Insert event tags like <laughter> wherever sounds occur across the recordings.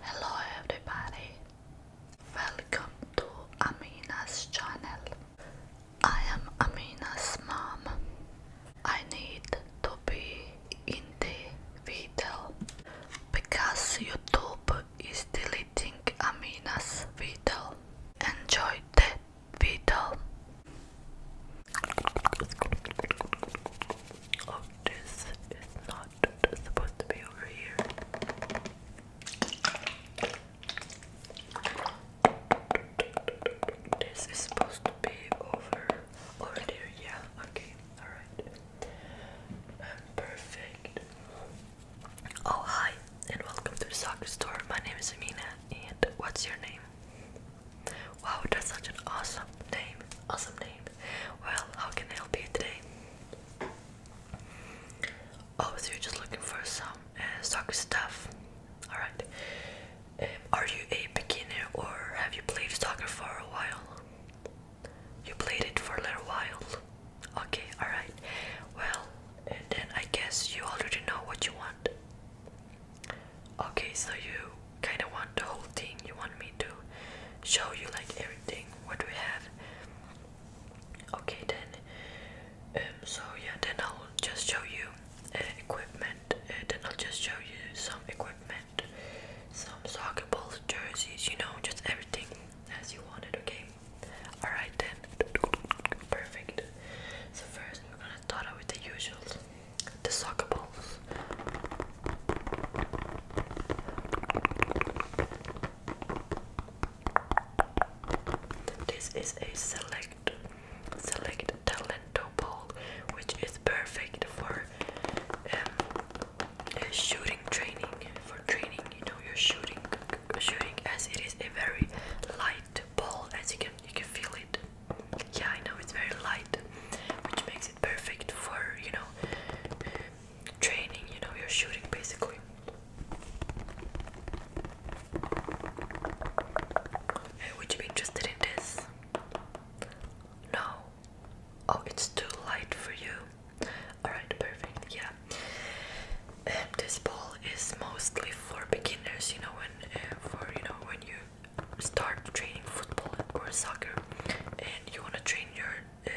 Hello everybody, welcome to Amina's channel. I am Amina's mom. I need to be in the video because YouTube is deleting Amina's video. Enjoy that video this is not supposed to be over here. This is supposed to be over over there, yeah. Okay, alright. Um, perfect. Oh hi and welcome to the soccer store. My name is Amina and what's your name? Wow, that's such an awesome name. Awesome name. Well, how can I help you today? Oh, so you're just looking for some uh, soccer stuff. Alright. Um, are you a beginner or have you played soccer for a while? You played it for a little while. Okay, alright. Well, and then I guess you already know what you want. Okay, so you kind of want the whole thing. You want me to show you like everything what we have. Okay then. Um, so yeah, then I'll just show you uh, equipment. Uh, then I'll just show you some equipment, some soccer balls, jerseys, you know, just everything as you want it. Okay. All right then. Perfect. So first we're gonna start out with the usual, the soccer balls. This is a select select talento ball which is perfect for um, shooting training for training you know you shooting shooting as it is a very light ball as you can you can feel it yeah I know it's very light which makes perfect for you know training you know your shooting basically would you be interested in this no oh it's too light for you all right perfect yeah this ball is mostly for beginners you know when uh, for you know when you start training football or soccer and you want to train your uh,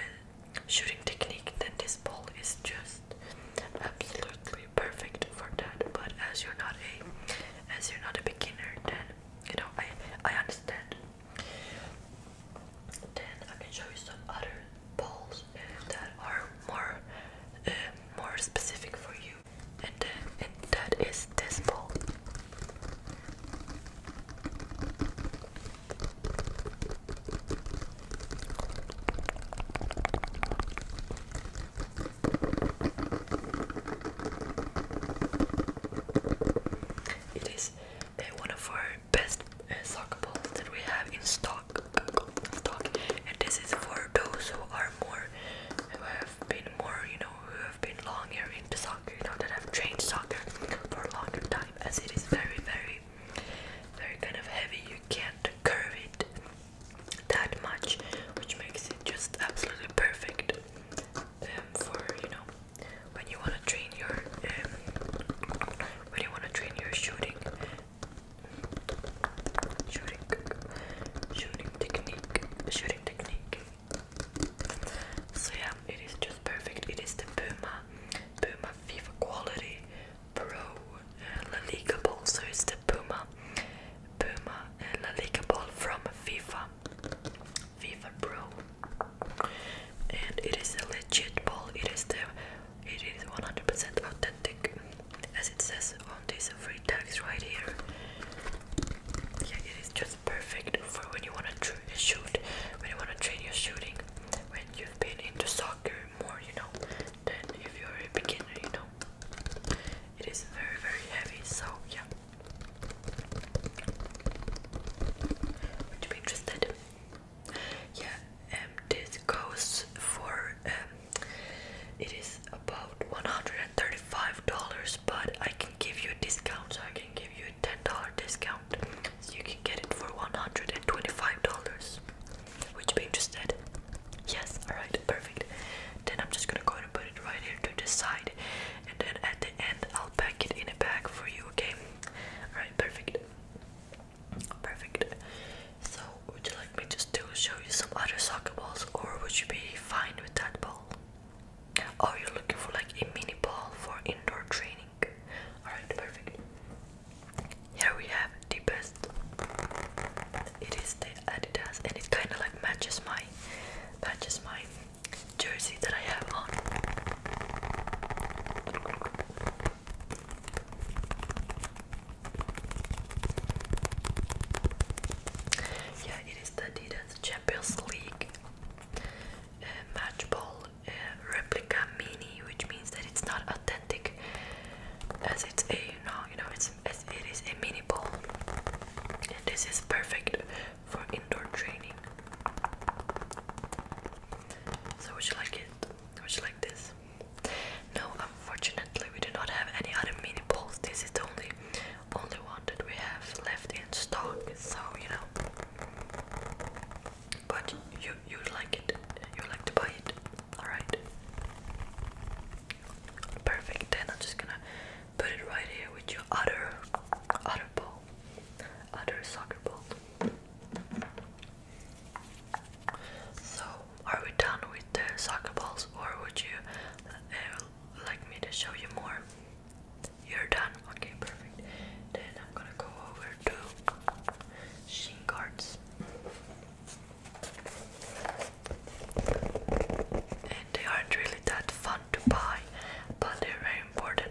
shooting technique, then this ball is just absolutely perfect for that. But as you're not a, as you're not a beginner, then you know I I understand. Then I can show you some other balls uh, that are more uh, more specific for you, and then uh, and that is this ball. It is uh, one of our best uh, soccer balls that we have in stock. Stock, and this is for those who are more, who have been more, you know, who have been longer into soccer soccer now that I've trained soccer for a longer time as it is very very very kind of heavy you can't curve it that much which makes it just absolutely perfect um, for you know when you want to train your um, when you want to train your shooting shooting shooting technique shooting technique so yeah it is just perfect it is the Puma Puma FIFA Quality Pro uh, La Liga Ball. So it's the Puma Puma uh, La Ball from FIFA. FIFA Pro. And it is a legit ball. It is the it is 100% authentic as it says on this free tags right here. Yeah, it is just perfect for when you wanna shoot, when you wanna train your shooting when you've been into soccer more, you know, than if you're a beginner, you know. It is very, very heavy, so yeah. Would you be interested? Yeah, um, this goes for um, it is about $135, but I can give you a discount, so I can give you a $10 discount. So you can get it for $125. Would you be interested? Yes, alright, perfect. Then I'm just gonna go and put it right here to the side. And then at the end, I'll pack it in a bag for you, okay? Alright, perfect. Perfect. So, would you like me just to show you some other soccer balls, or would you be fine with that ball? Are oh, you looking for like a mini ball for indoor training? Alright, perfect. Here we have the best. It is the Adidas and it kinda like matches my matches my jersey that I have on. Yeah, it is the Adidas Champions League uh, match ball uh, replica mini, which means that it's not authentic, as it's a you know you know it's as it is a mini ball, and this is perfect for indoor training. So would you like it? Would you like this? No, unfortunately, we do not have any other mini balls. This is the only only one that we have left in stock. So you know. But you you like it. You like to buy it. Alright. Perfect. Then I'm just gonna put it right here with your other other ball. Other soccer ball. So are we done with the soccer balls or would you uh, like me to show you more? You're done? Okay, perfect. Then I'm gonna go over two shin guards and they aren't really that fun to buy but they're very important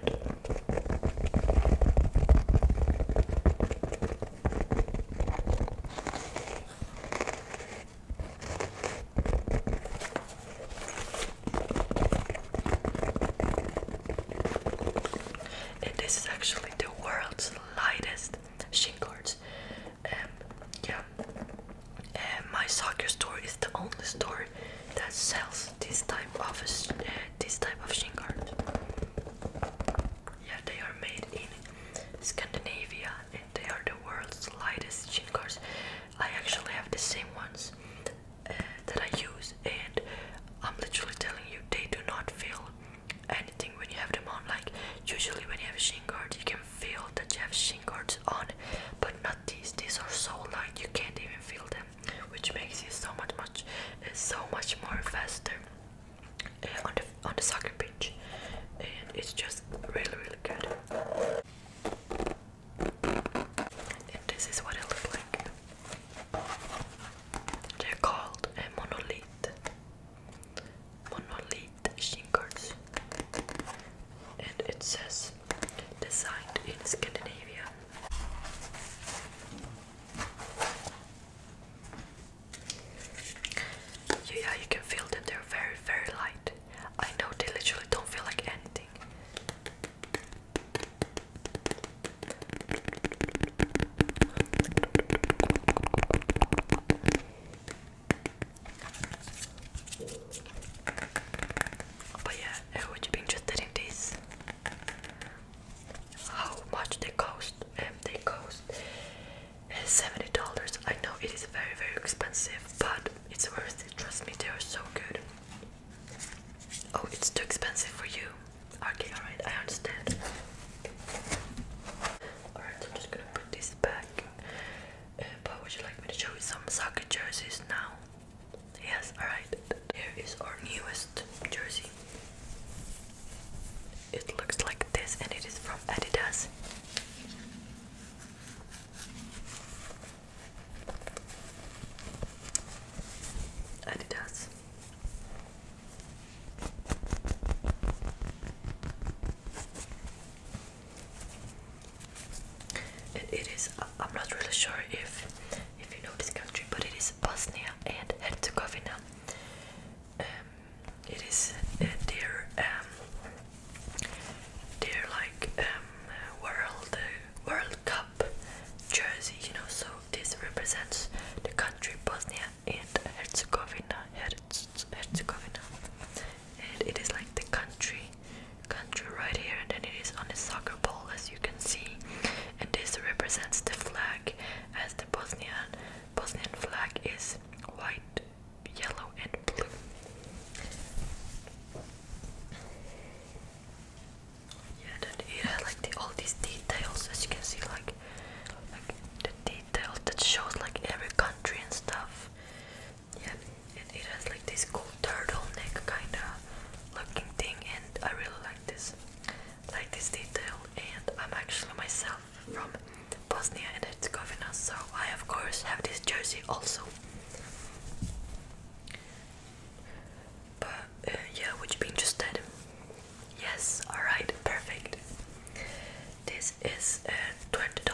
and this is actually the world's lightest shin guards. Um, yeah, and my soccer store is the only store that sells this type of uh, this type of shin guard. Yeah, they are made in Scandinavia and they are the world's lightest shin guards. I actually have the same ones uh, that I use, and I'm literally telling you, they do not feel anything when you have them on. Like usually when you have shin guards, you can feel that you have shin guards on, but not these. These are so light you can't even feel them, which makes it so much much uh, so much more faster uh, on the on the soccer pitch, and it's just really really good. And this is what it looks like. They're called a eh, monolith. Monolith shingles. And it says designed in Scandinavia. Yeah, you can feel them, they're very, very light. I know they literally don't feel like anything. But yeah, would be interested in this? How much they cost? And um, they cost uh, seventy dollars. I know it is very very expensive, but it's worth it. Trust me, they are so good. Oh, it's too expensive for you. Okay, alright, I understand. Alright, so I'm just gonna put this back. Uh, but would you like me to show you some soccer jerseys now? Yes, alright. Here is our newest jersey. It looks like this and it is from Adidas. Adidas it is I'm not really sure if if you know this country, but it is Bosnia and Herzegovina. Um, it is uh, their um, their like um, world uh, World Cup jersey, you know. So this represents the country Bosnia and Herzegovina. Herzegovina, and it is like the country, country right here, and then it is on a soccer ball, as you can see. And this represents the flag, as the Bosnian Bosnian flag is white, yellow, and blue. Yeah, and it had like all these details, as you can see, like like the details that shows like every country and stuff. Yeah, and it has like this cool turtleneck kind of looking thing, and I really like this, like this detail. And I'm actually myself from Bosnia and Herzegovina, so I of course have this jersey also. But uh, yeah, would you be interested? Yes, alright, perfect. This is uh, $20.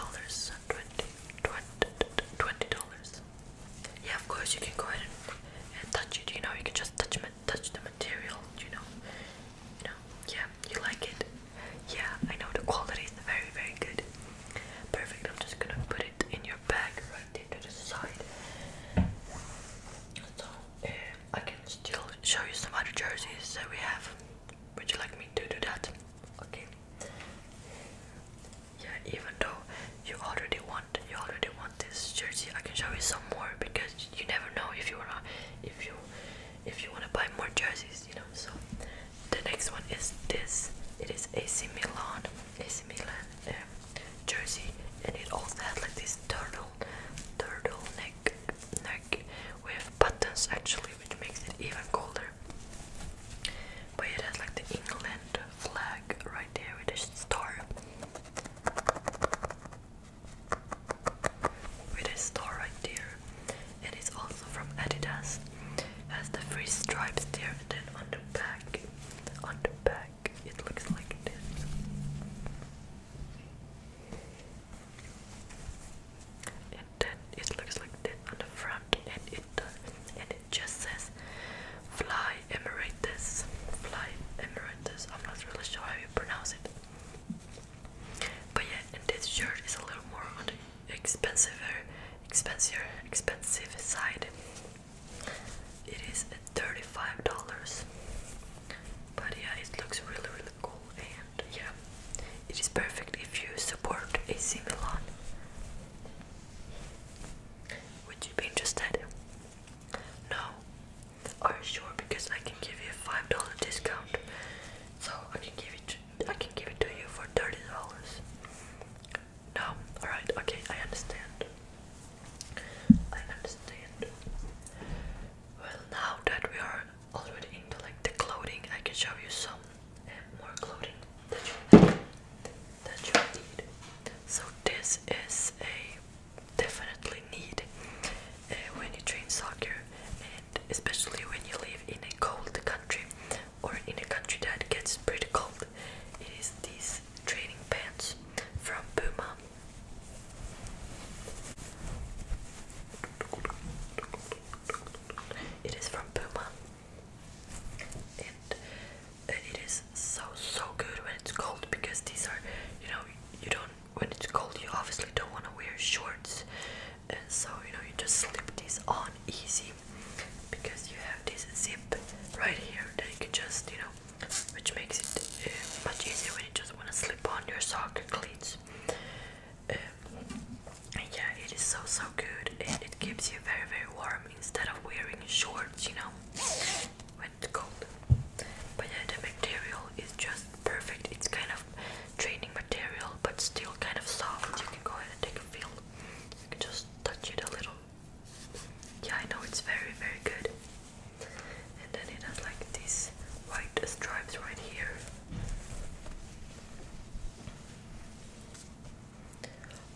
20 dollars Yeah, of course, you can go ahead and, touch it, you know, you can just touch, touch the material, you know. You know, yeah, you like it. Yeah, I know the quality is very, very good. Perfect, I'm just gonna put it in your bag right there to the side. So, uh, I can still show you some other jerseys that we have. Would you like me to do that? Okay. Yeah, even though you already want you already want this jersey, I can show you some more because you never know if you wanna if you if you wanna buy more jerseys, you know. So the next one is this. It is AC Milan, AC Milan uh, jersey, and it also has like this turtle turtleneck neck with buttons actually which makes it even colder. But it has like the England flag right there with a star. With a star right there. It is also from Adidas. Has the three stripes there and then on the back on the back it looks like this. And then it looks like this on the front, and it and it just says "Fly Emeritus." Fly Emeritus. I'm not really sure how you pronounce it. But yeah, and this shirt is a little more on the expensive, expensive, expensive side. It is $35. But yeah, it looks really, really cool, and yeah, it is perfect if you support AC Milan. Would you be interested? No? Are you sure? Because I can give you a five dollar discount, so I can give it. I can give it to you for thirty dollars. No, all right, okay, I understand. I understand. Well, now that we are already into like the clothing, I can show you some eh, more clothing that you that you need. So this is a definitely need eh, when you train soccer, and especially when you live in a cold country or in a country that gets pretty cold. It is these training pants from Puma. It is from Puma, and it is so so good when it's cold because these are, you know, you don't when it's cold you obviously don't want to wear shorts, and so you know you just slip these on easy because you have this zip right here that you can just you know which makes it uh, much easier when you just want to slip on your soccer cleats. Um, yeah, it is so so good, and it keeps you very very warm instead of wearing shorts, you know, when it's cold. But yeah, the material is just perfect. It's kind of training material, but still kind of soft. You can go ahead and take a feel. You can just touch it a little. Yeah, I know it's very very good and then it has like these white stripes right here.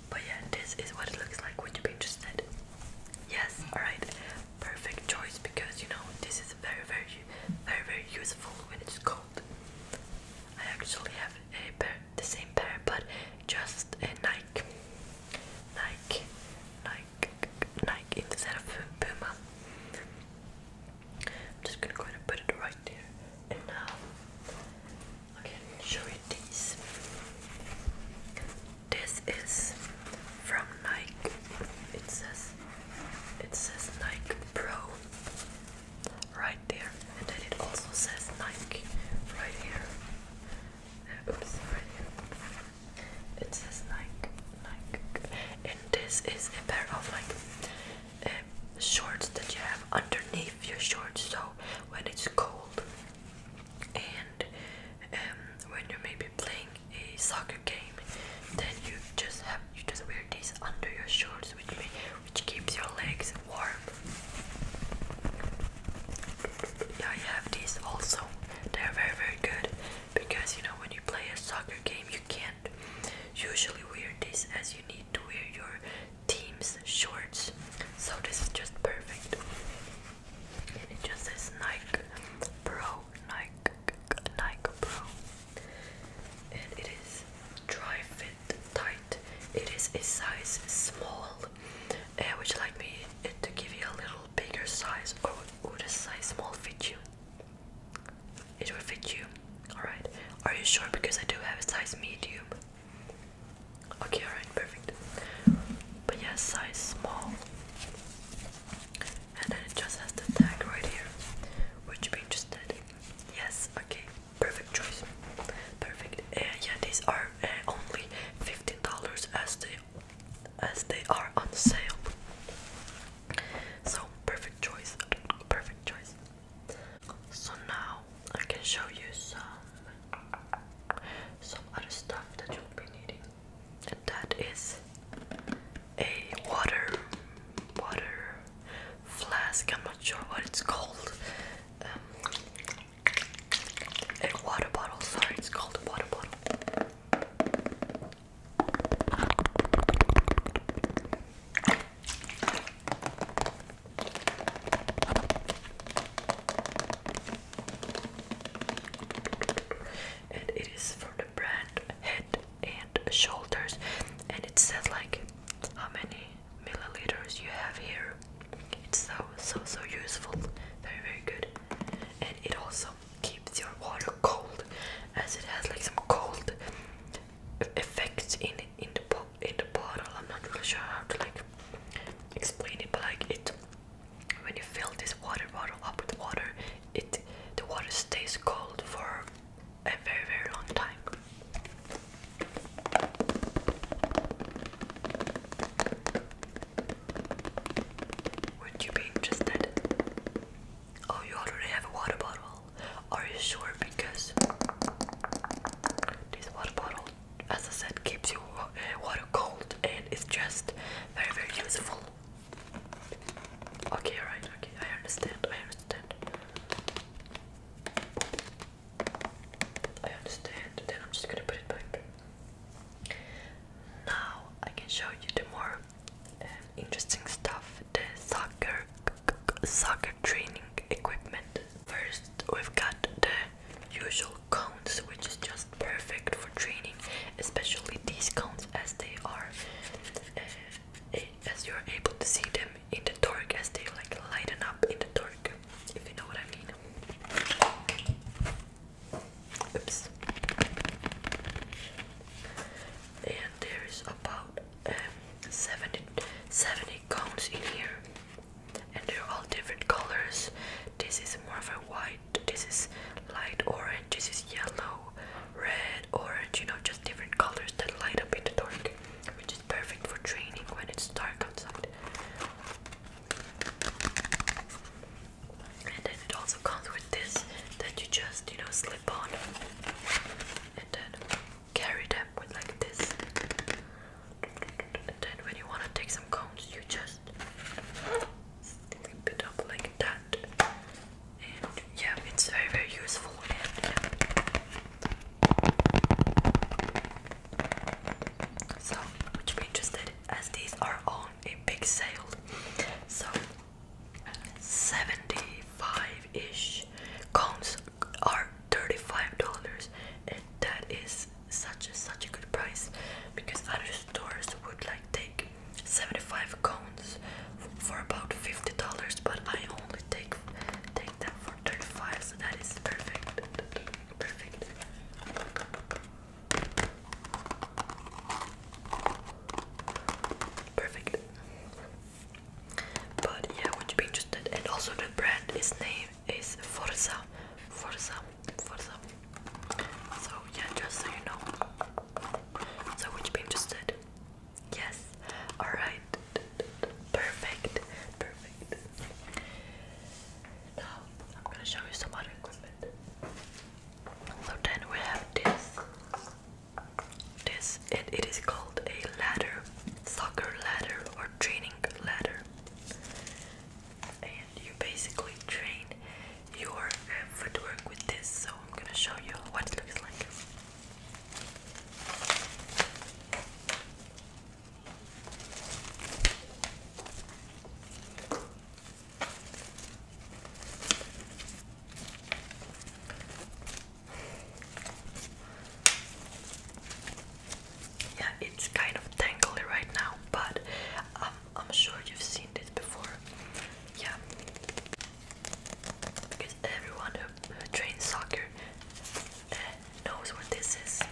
But yeah, this is what it looks like. Would you be interested? Yes, alright. Perfect choice because you know this is very very very very useful when it's cold. I actually have a pair the same pair but just a Nike. Nike, Nike, Nike, instead of Puma. I'm just gonna go and put it right there. And I um, can show you these. This is from Nike. It says it says Nike Pro right there, and then it also says Nike right here. oops, it says Nike, Nike, and this is a pair of like um, shorts that you have underneath your shorts. So when it's cold and um, when you're maybe playing a soccer game, then you just have you just wear these under your shorts, which may, which keeps your legs warm. Yeah, you have these also. They're very very good because you know when you play a soccer game you can't usually wear this as you need to wear your team's shorts so this is just perfect and it just says Nike Pro Nike Nike Pro and it is dry fit tight it is a size small uh, would you like me to give you a little bigger size or would a size small fit you it will fit you. Alright. Are you sure? Because I do have a size medium. Okay, alright, perfect. But yes, yeah, size small. And then it just has the tag right here. Would you be interested? Yes, okay, perfect choice. Perfect. And yeah, these are uh, only $15 as they as they are on sale. So perfect choice, perfect choice. So now I can show you some some other stuff that you'll be needing, and that is a water water flask. I'm not sure what it's called. Um, a water bottle. Sorry, it's called a water bottle. And it is for the brand Head and Shoulders, and it says like how many milliliters you have here. It's so so so useful, very very good. And it also keeps your water cold as it has like some cold effects in in the in the bottle. I'm not really sure how to like explain it, but like it when you fill this water bottle up with water, it the water stays cold for a very very long time. Would you be interested? Oh, you already have a water bottle. Are you sure? Because this water bottle, as I said, keeps your uh, water cold and it's just very, very useful. Okay, alright, okay, I understand, I understand. I understand, then I'm just gonna put it back. Now I can show you the more interesting stuff the soccer soccer training equipment first we've got the usual cones which is just perfect for training especially these cones as they are uh, eh, as you're able to see them in the dark as they like lighten up in the dark if you know what I mean oops and there is about um, 70 cones in here and they're all different colors this is more of a white this is light orange this is yellow red orange you know just different colors that light up in the dark which is perfect for training when it's dark outside and then it also comes with this that you just, you know, slip on and then carry them with like this. And then when you want to take some cones, you just slip it up like that. And yeah, it's very, very useful. And, yeah. So, would you be interested? As these are on a big sale, so 75-ish cones are $35 and that is such a such a good price because other stores would like take 75 cones for about $50 but I only take take that for 35 so that is perfect perfect Perfect. But yeah, would you be interested? And also the brand, name is Forza. Forza. Forza. So yeah, just so you know. So would you be interested? Yes. Alright. Perfect. Perfect. Now I'm gonna show you some other equipment. So then we have this this it is called a ladder, soccer ladder or training ladder. And you basically train your uh, footwork with this. So I'm gonna show you what it looks like. Yeah, it's kind of tangly right now, but um, I'm sure you've seen this before. Yeah, because everyone who, trains soccer uh, knows what this is.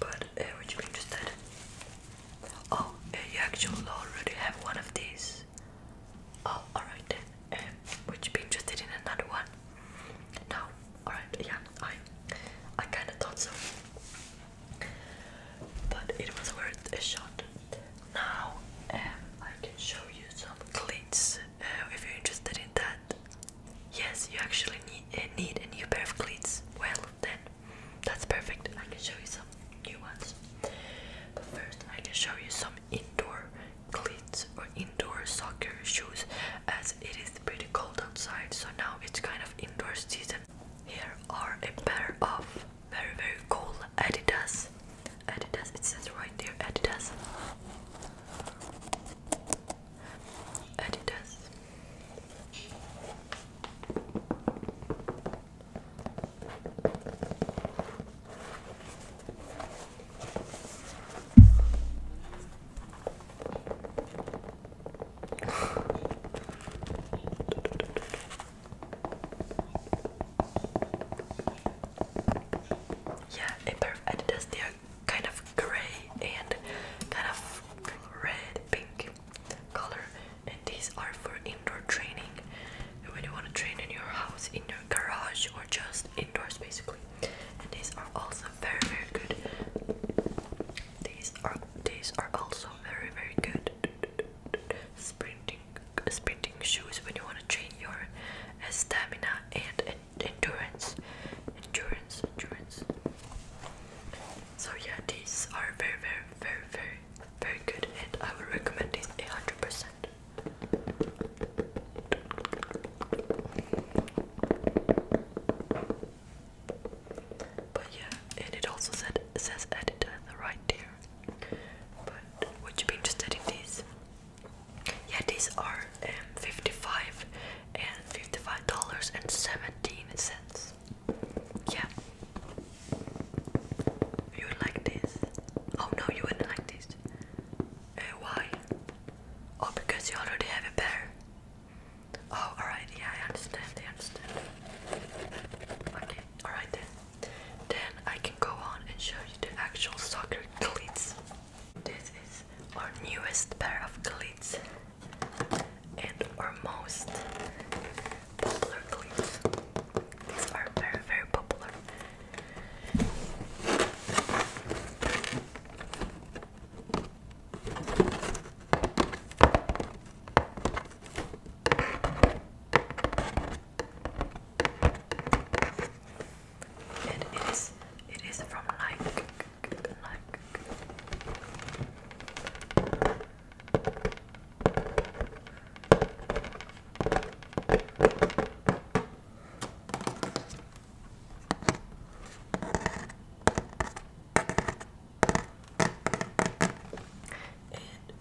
But uh, would you be interested? Oh, uh, you actually already have one of these. Oh, alright then. Uh, um, you interested in another one? No, alright, yeah, I I kinda thought so but it was worth a shot. Now um, I can show you some cleats uh, if you're interested in that. Yes, you actually uh, need a new pair of cleats. Well, then that's perfect. I can show you some new ones. But first, I can show you some indoor cleats or indoor soccer shoes as it is pretty cold outside. So now it's kind of indoor season, here are a pair of very very cool Adidas. Adidas, it says right there Adidas. Adidas. Yeah, Imperf they are uh, kind of grey and kind of red pink color, and these are for indoor training when you want to train in your house, in your garage, or just indoors basically. And these are also very, very good these are these are also very very good sprinting sprinting shoes when you want to train your uh, stamina and, and endurance endurance endurance. So yeah, these are very very very very very good, and I would recommend these a hundred percent. But yeah, and it also said says edit right there. But would you be interested in these? Yeah, these are um, 55 and 55 dollars and 17 cents. Yeah. You like this? Oh no, you wouldn't like this. Uh, why? Oh, because you already have a pair. Oh, alright, yeah, I understand, I understand. Okay, alright then. Then I can go on and show you the actual soccer cleats. This is our newest pair of cleats and our most popular cleats. These are very, very popular. And it is it is from Nike Nike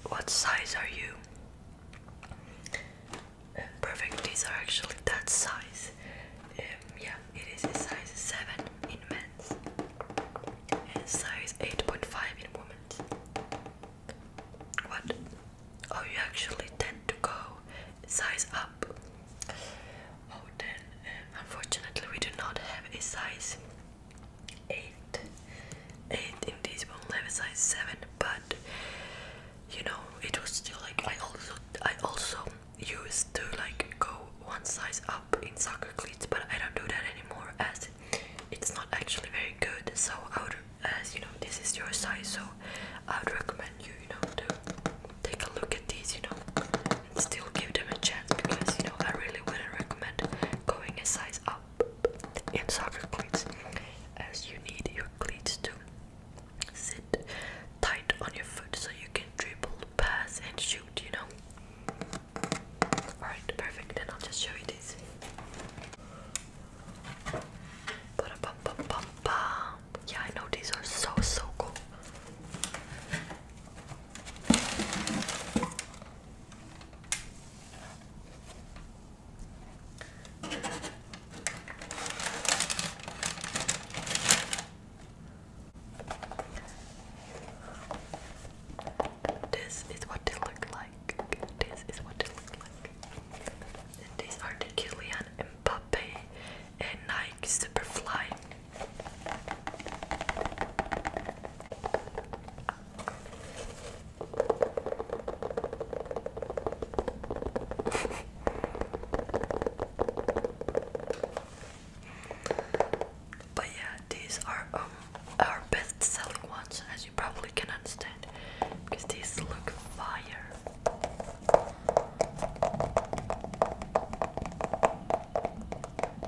what size are you? perfect, these are actually that size. Um, yeah, it is a size 7 in men's and size 8.5 in women's. What? Oh, you actually tend to go size up. Oh, then um, unfortunately, we do not have a size 8 8 in this one level size 7 but you know it was still like I also I also used to like go one size up in soccer cleats but I don't do that anymore as it's not actually very good so I would as you know this is your size so I would recommend you you know to take a look at these you know still give them a chance because you know I really wouldn't recommend going a size up in soccer cleats as you need your cleats to sit tight on your foot so you can dribble, pass and shoot, you know. Alright, perfect, then I'll just show you this. Yeah, I know these are so so cool. This is what they look like. This is what they look like. And these are the Kylian Mbappe and Nike Superfly. <laughs> But yeah, these are um, our best selling ones, as you probably can understand, because these look fire.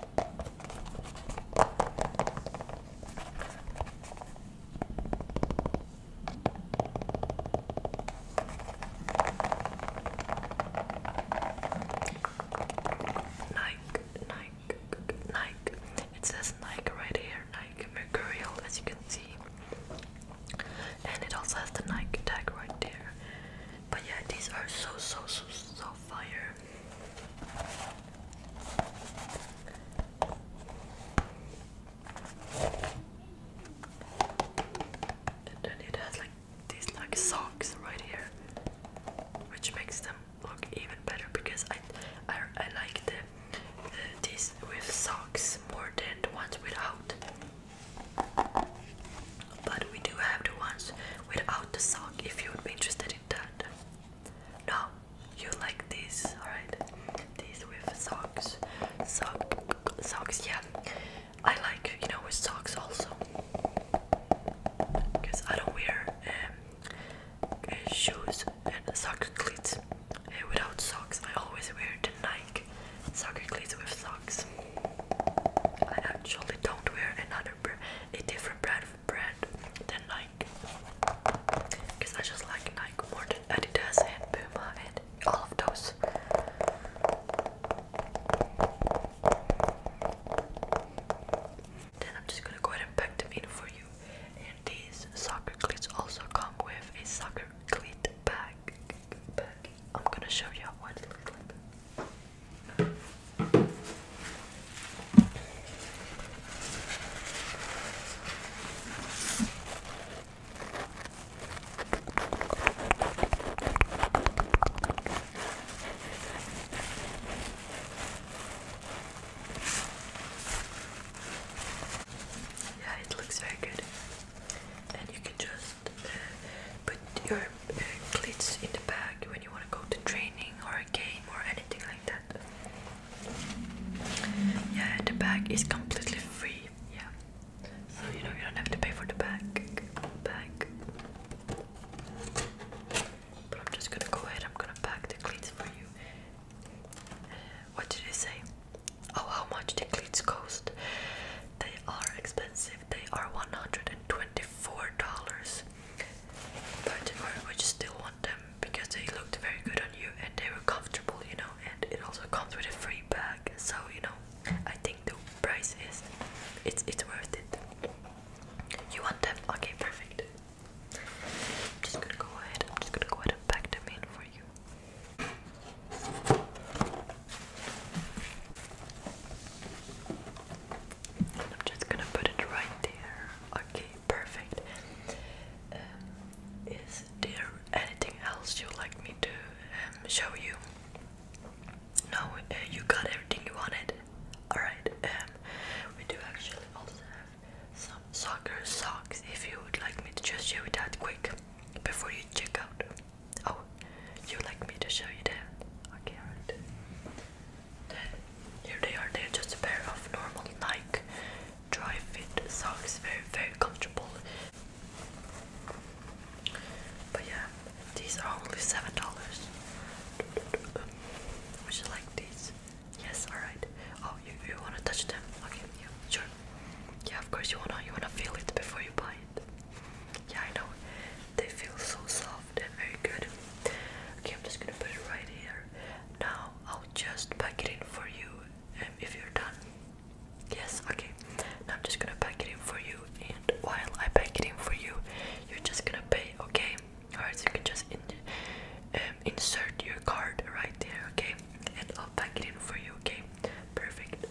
Nike, Nike, Nike. It says Nike right here, Nike Mercurial, as you can see. And it also has the Nike tag right there. But yeah, these are so so so so fire. And then it has like these like socks right here, which makes them look even better because I I, I like the, these with socks more than the ones without. But we do have the ones without the sock if you would be interested in that. No, you like these, alright? These with socks. Sock socks, yeah. I like, you know, with socks also. Because I don't wear um, uh, shoes and soccer cleats uh, without socks. I always wear the Nike soccer cleats with socks. I actually don't wear another, pair, a different brand bread than Nike because I just like Nike more than Adidas and Puma and all of those. Then I'm just gonna go ahead and pack them in for you. And these soccer cleats also come with a soccer cleat bag. I'm gonna show you what yeah, it looks very good. And you can just uh, put your uh, cleats in the bag when you want to go to training or a game or anything like that. Yeah, the bag is completely free. Yeah, so you know you don't have to pay for the bag. Bag. But I'm just gonna go ahead. I'm gonna pack the cleats for you. Uh, what did you say? Oh, how much the cleats cost? They are expensive. They are one hundred and twenty-four dollars but I would still want them because they looked very good on you and they were comfortable, you know. And it also comes with a free bag, so you know, I think the price is it's it's worth it. You want them? Okay, perfect. I'm just gonna go ahead. I'm just gonna go ahead and pack them in for you. I'm just gonna put it right there. Okay perfect. Um, is there anything else you'd like me to um, show you? No, uh, you got everything you wanted. Alright, um, we do actually also have some soccer socks if you would like me to just show you that quick before you check out. Oh, you like me to show you that? Okay, here they are. They're just a pair of normal Nike dry fit socks. Very very comfortable. But yeah, these are only seven dollars. Would you like these? Yes. All right. Oh, you you wanna touch them? Okay. Yeah. Sure. Yeah. Of course you wanna you wanna feel it before you buy it. Yeah, I know. They feel so soft and very good. Okay, I'm just gonna put it right here. Now I'll just pack it in for you and um, if you're done. Yes, okay. Now I'm just gonna pack it in for you, and while I pack it in for you, you're just gonna pay, okay? Alright, so you can just um, insert your card right there, okay? And I'll pack it in for you, okay? Perfect.